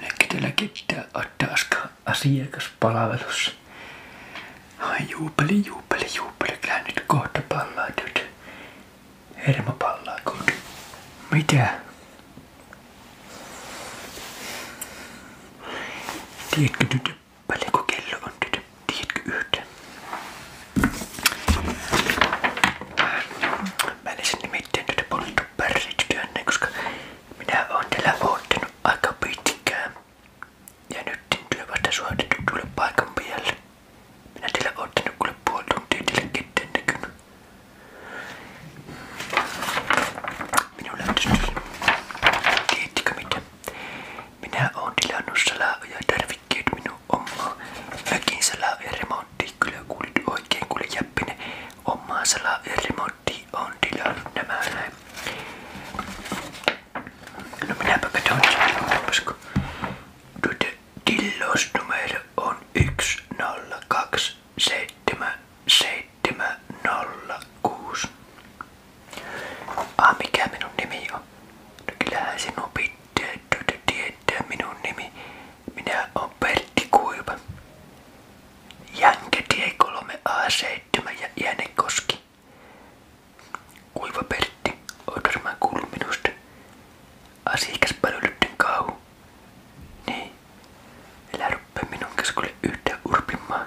Näkytelläkin no niin, pitää Attaska asiakaspalvelussa. Ai juupeli, juupeli, juupeli. Kyllä nyt kohta pallaa tyt. Hermo pallaa kohta. Mitä? Tiedätkö tytö Paljonko kello on nyt? Tiedätkö yhden? Mä en sen nimittäin tätä polttu pärsityönne, koska minä oon täällä odottanut aika pitkään. Ja nyt työ vasta suoritettu tuolle paikan päälle. Minä teillä ottanut kuule puoli tuntia teille ketään näkynyt. Minulla on tässä, tiedättekö mitä? Minä oon tilannut salaoja tarvikkeet minun omaa. Mäkin salaoja remonttiin kyllä kuulit oikein kuule jäppinen. Omaa salaoja remonttiin on tilannut nämä näin. No minäpä katson sanotaanpasko. Tuota tillosnumero on 102770. 706. Ah, mikä minun nimi on? No kyllähän sinun pitää tuota tietää minun nimi. Minä on Pertti Kuiva. Jänke tie 3A7 ja Jänekoski. Kuiva Pertti, oot varmaan kuullut minusta. Asiakaspalveluiden kauhu. Niin. Älä rupea minun kanssa kuule yhtään urpimaan.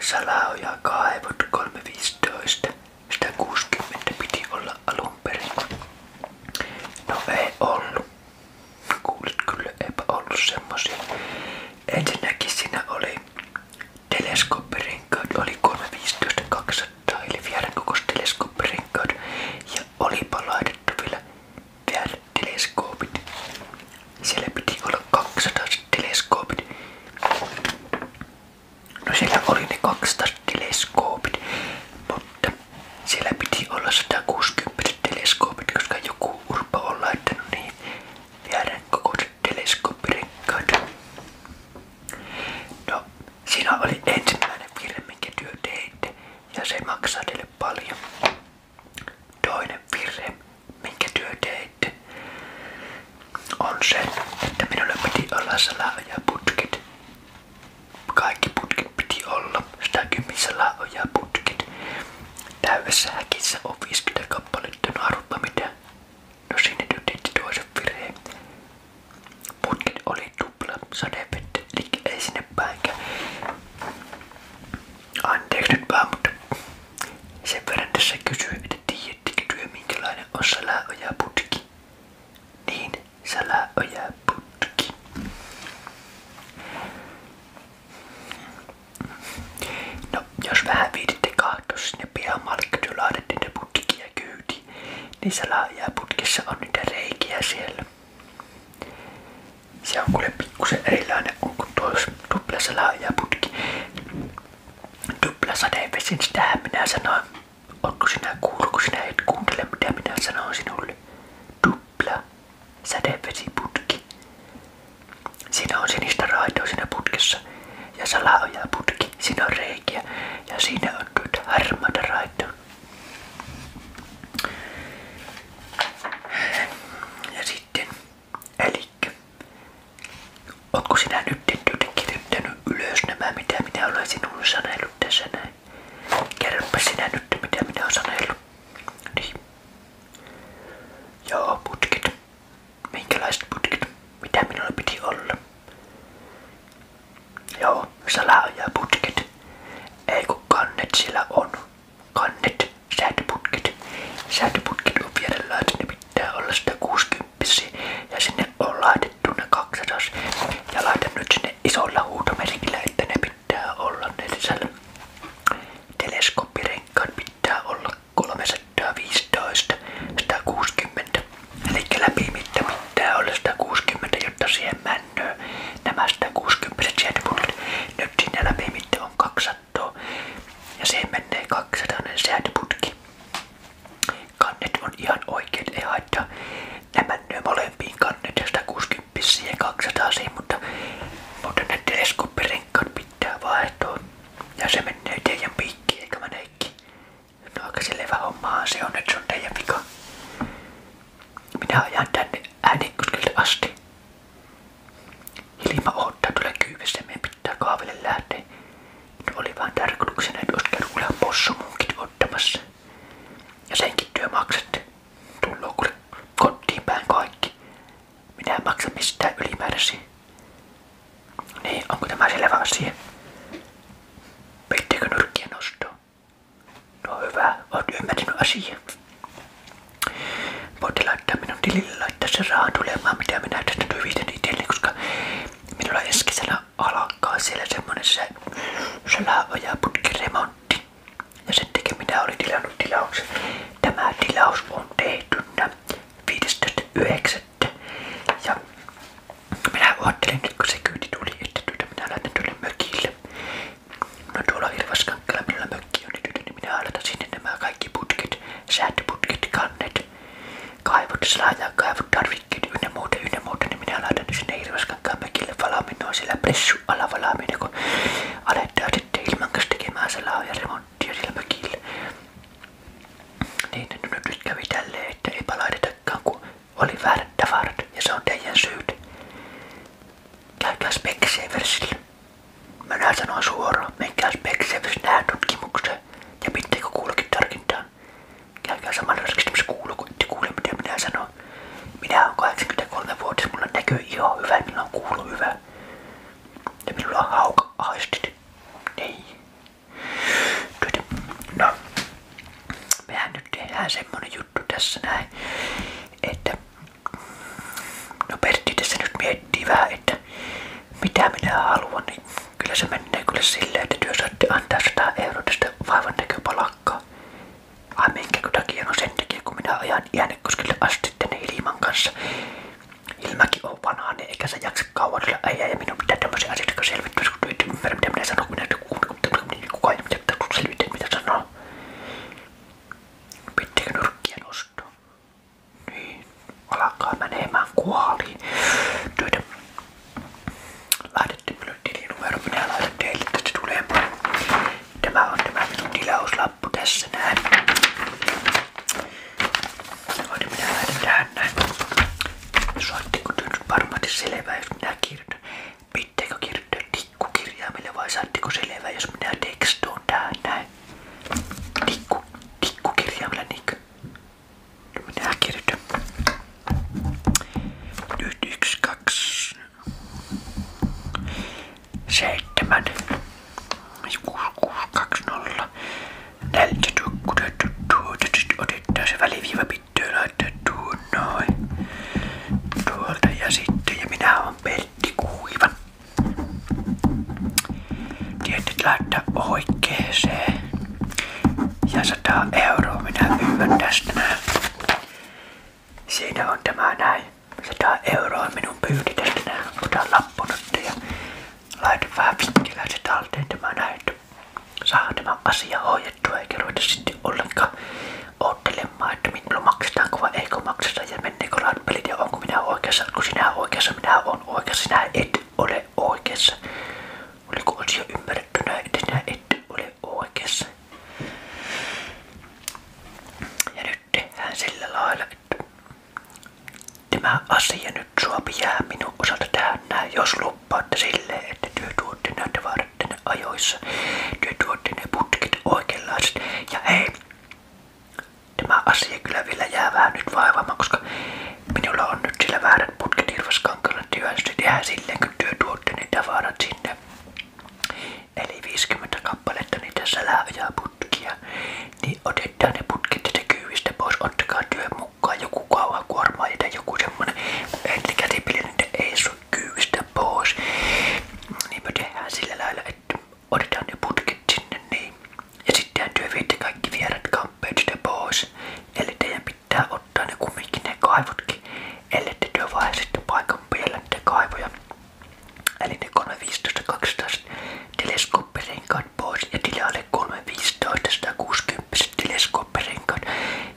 Salao ja kaivot 315. 160 piti olla alun perin. No ei ollut. Kuulit kyllä, eipä ollut semmosia. Ensinnäkin siinä oli teleskooppirenkaat, oli 315 200 eli vierenkokos teleskooppirenkaat. Ja olipa laitettu vielä vierteleskoopit siellä piti olla 200 No siellä oli ne 200 mutta siellä piti olla 160 teleskoopit, koska joku urpa on laittanut niin viedään kokoiset No, siinä oli ensimmäinen virhe, minkä ja se maksaa teille paljon. Toinen virhe, minkä työ heitti, on se, että minulla piti olla salaoja putkit, Kaikki putkit piti olla, 110 salaoja putket. Täydessä häkissä on 50 kappaletta, no arvaa mitä. No sinne nyt tehti toisen virheen. Putkit oli tupla sadevettä, eli ei sinne päinkään. Anteeksi nyt vaan, mutta sen verran tässä kysyy, että tiedättekö työ minkälainen on salaojaputki? Niin, salaojaputki. No, jos vähän viititte kahtoa sinne pihamalle, laadettiin putkia kyyti, niin salaojaputkissa on niitä reikiä siellä. Se on kuule niin kun se erilainen on kuin tuossa putki. Tuplasateenvesin, sitähän minä sanoin. Onko sinä kuullut, kun sinä et kuuntele, mitä minä sanoin sinulle? Tupla sätevesiputki. Siinä on sinistä raitoa siinä putkessa ja salaojaa putki. Siinä on reikiä ja siinä on tuota harmaata raitoa. Ja sitten Elikkä, ootko sinä nyt kirjoittanut ylös mitä minä olen sinulle sanellut tässä sinä nyt, mitä minä olen niin. Joo, putket. Minkälaiset putket? Mitä minulla piti olla? Joo, salaa ja putket. Ei on kannet, säätöputkit. Säätöputkit on vielä laitettu, ne pitää olla 160 ja sinne on laitettu ne 200 ja laitan nyt sinne isolla huutomerkillä, että ne pitää olla ne sisällä. Teleskooppirenkaat pitää olla 315, 160 eli läpimitta pitää olla 160, jotta siihen männöö nämä 160 säätöputkit. Nyt sinne läpimitta on 200 sattuu. Ja siihen menee 200 säätöputki. Kannet on ihan oikeet, ei haittaa. Nämä menee molempiin kannet, 160 ja 200 siihen, mutta, mutta ne teleskooppirenkkaat pitää vaihtaa. Ja se menee teidän piikkiin, eikä mä neikki. No aika selvä hommahan se on, että se on teidän vika. Minä ajan tänne äänikoskelta asti. Hilma odottaa tulla kyyvässä pitää kahville lähteä. No oli vaan tarkoituksena, että olisi käynyt kuule Ja senkin työ maksatte. kotiin päin kaikki. Minä en maksa ylimääräisiä. Niin, onko tämä selvä asia? Peittekö nyrkkiä No hyvä, oot ymmärtänyt asiaa. Voitte laittaa minun tilille, laittaa sen rahan tulemaan, mitä minä tästä tyvitän itselleni, koska minulla ensi kesänä alkaa siellä semmonen se, se laavajaputkiremontti. Ja sen takia minä olin tilannut tilauksen. Tämä tilaus on tehtynä 15.9. Ja minä ajattelin, että kun se kyyti tuli, että työtä tuota minä laitan tuonne mökille. No tuolla Hirvaskankkalla minulla mökki on, niin-, niin minä aloitan sinne kaikki putket, säätöputket, kannet, kaivot, slaajan kaivot, tarvikkeet ynnä muuta, ynnä muuta, niin minä laitan sinne Hirvaskankkaan mökille valaaminen on pressu ala valaaminen, kun aletaan sitten ilman kanssa tekemään salaa ja remonttia nyt kävi että eipä laitetakaan, kun oli väärät tavarat ja se on teidän syyt. Käykää spekseen minä sanoin suoraan, menkää speksevis nähdään tutkimukseen ja pitääkö kuullakin tarkintaan. Käykää samalla raskistumassa kuulla, kun ette kuule mitä minä sanon. Minä olen 83-vuotias, mulla näkyy iho hyvä, minulla on kuulo hyvä. Ja minulla on hauka aistit. Niin. No. Mehän nyt tehdään semmonen juttu juttu tässä näin. Että, no Pertti tässä nyt miettii vähän, että mitä minä haluan, niin kyllä se menee kyllä silleen, että työ saatte antaa 100 euroa tästä vaivan näköpalakkaa. Ai minkä takia? No sen takia, kun minä ajan Äänekoskelle asti tänne Ilman kanssa. Ilmäkin on vanhainen, niin eikä se jaksa kauan olla äijä ja minun pitää tämmöisiä asioita selvittää, kun et ymmärrä mitä minä sanon, kun minä kukaan ei mitä selvittää, mitä sanoo. Pittikö nurkkia nostaa? Niin, alkaa menemään kuoliin. Töitä. Lähetettiin minulle tilinumero, minä laitan teille tästä tulemaan. Tämä on tämä minun tilauslappu tässä näin. Voin minä laitan tähän näin. Soittiko työ nyt varmasti selvää, jos minä kirjoitan? Pitääkö kirjoittaa tikkukirjaimelle vai saatteko selvää, jos minä tekstoon tää näin? Tikku, tikkukirjaimella niinkö? Minä kirjoitan. Nyt yksi, kaksi, seitsemän, kuusi, kuusi, kaksi, nolla. Näiltä tukkutettu tuota, sit otetaan se väliviiva pitää laittaa tuon noin. Tuolta ja sitten, ja minä on peli pettikuivan. Tietyt laittaa oikeeseen. Ja 100 euroa minä pyydän tästä näin. Siinä on tämä näin. 100 euroa minun pyyti tästä näin. Otan lappunutta ja laitan vähän vittiläiset talteen tämä näin. Saa tämä asia hoidettua eikä ruveta sitten ollenkaan odottelemaan, että minulla no maksetaanko vai eikö makseta ja menneekö latpelit ja oikeassa, kun oikeassa, minä olen oikeassa, et ole oikeassa. Oliko asia ymmärrettynä, että sinä et ole oikeassa? nyt tehdään sillä lailla, asia nyt sua jää minun osalta tähän näin, jos luppaatte silleen, että työ tuotte näitä kaarten ajoissa. Te tuotte ne putket oikeanlaiset. Ja hei, tämä asia kyllä vielä jää vähän nyt vaivaamaan, koska minulla on nyt sillä väärät putket hirvaskankalle. Työhän se tehdään silleen, kun työ tuotte ne tavarat sinne. Eli 50 kappaletta niitä ja putkia. Niin otetaan ne putket tätä kyyvistä pois, ottakaa työn mukaan joku kauhakuorma ja joku semmonen. Eli käsipillinen ei sun kyyvistä pois. Niinpä tehdään sillä lailla, että otetaan ne putket sinne niin. Ja sittenhän työ viette kaikki vierat kamppeet pois. Eli teidän pitää ottaa ne kumminkin ne kaivotkin. Eli te työ sitten paikan päällä niitä kaivoja. Eli ne 315-200 teleskooppirenkaat pois ja tilalle 315-160 teleskooppirenkaat.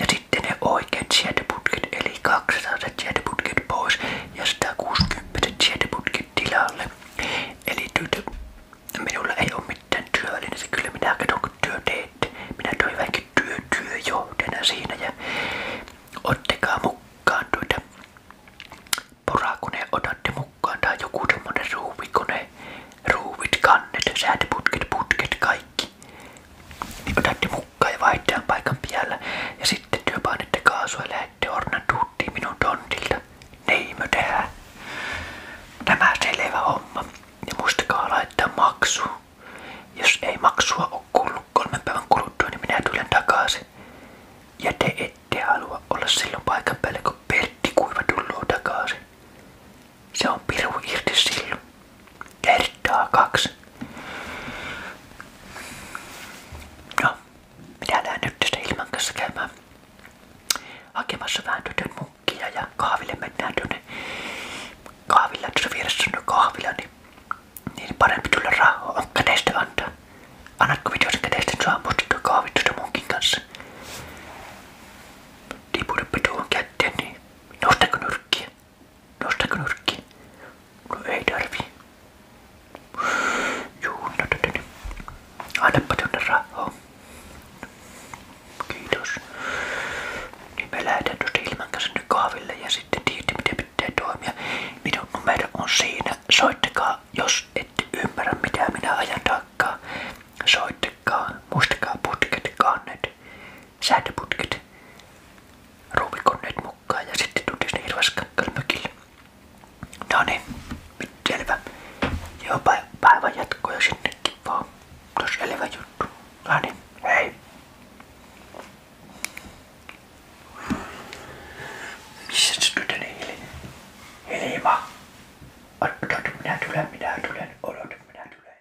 Ja sitten ne oikeat sietiputket, eli 200 sietiputket pois ja 160 sietiputket tilalle. Eli tytö, minulla ei ole mitään työvälineitä, kyllä minä katson kun työ teette. Minä toin vähänkin työ, työjohdena siinä ja ottakaa mukaan tuota porakone otatte mukaan tai joku semmonen ruuvikone, ruuvit, kannet, säätöputket, putket, kaikki niin otatte mukaan ja vaihdetaan paikan päällä. Ja sitten työ painatte kaasua ja lähdette minun tontilta. Niin me tehdään. Tämä selvä homma. Ja muistakaa laittaa maksu. Jos ei maksua ole kuullut kolmen päivän kuluttua, niin minä tulen takaisin. Ja te ette halua olla silloin paikan päällä, kun Kuiva tulee takaisin. Se on piru irti silloin kertaa kaksi. No, minä lähden nyt tästä Ilman kanssa käymään hakemassa vähän tytön tuota munkkia ja kahville mennään tuonne kahvilla, tuossa vieressä on kahvila, niin, niin parempi tulla rahaa on käteistä antaa. Annatko videosen käteistä, niin saa musta kahvit tuosta munkin kanssa. Tiputapa tuohon kätteen, niin nostako nyrkkiä? Nostako nyrkki? No ei tarvii. Juu, no tätä no, no, no. Annapa tonne rahaa. Kiitos. Niin me lähdetään tuosta kanssa nyt ja sitten tiedätte miten pitää toimia. Minun numero on siinä. Soittakaa, jos ette ymmärrä mitä minä ajan takaa. Soittakaa, muistakaa putket, kannet, säätöputket ruumikonneet mukaan ja sitten tultiin sinne Hirvaskankalle mökille. No niin, selvä. Joo, päivän jatkoja sinnekin vaan. Tos selvä juttu. No niin, hei. Missä se tytöni Heli? Helima? Odota, minä tulen, minä tulen, odota, minä tulen.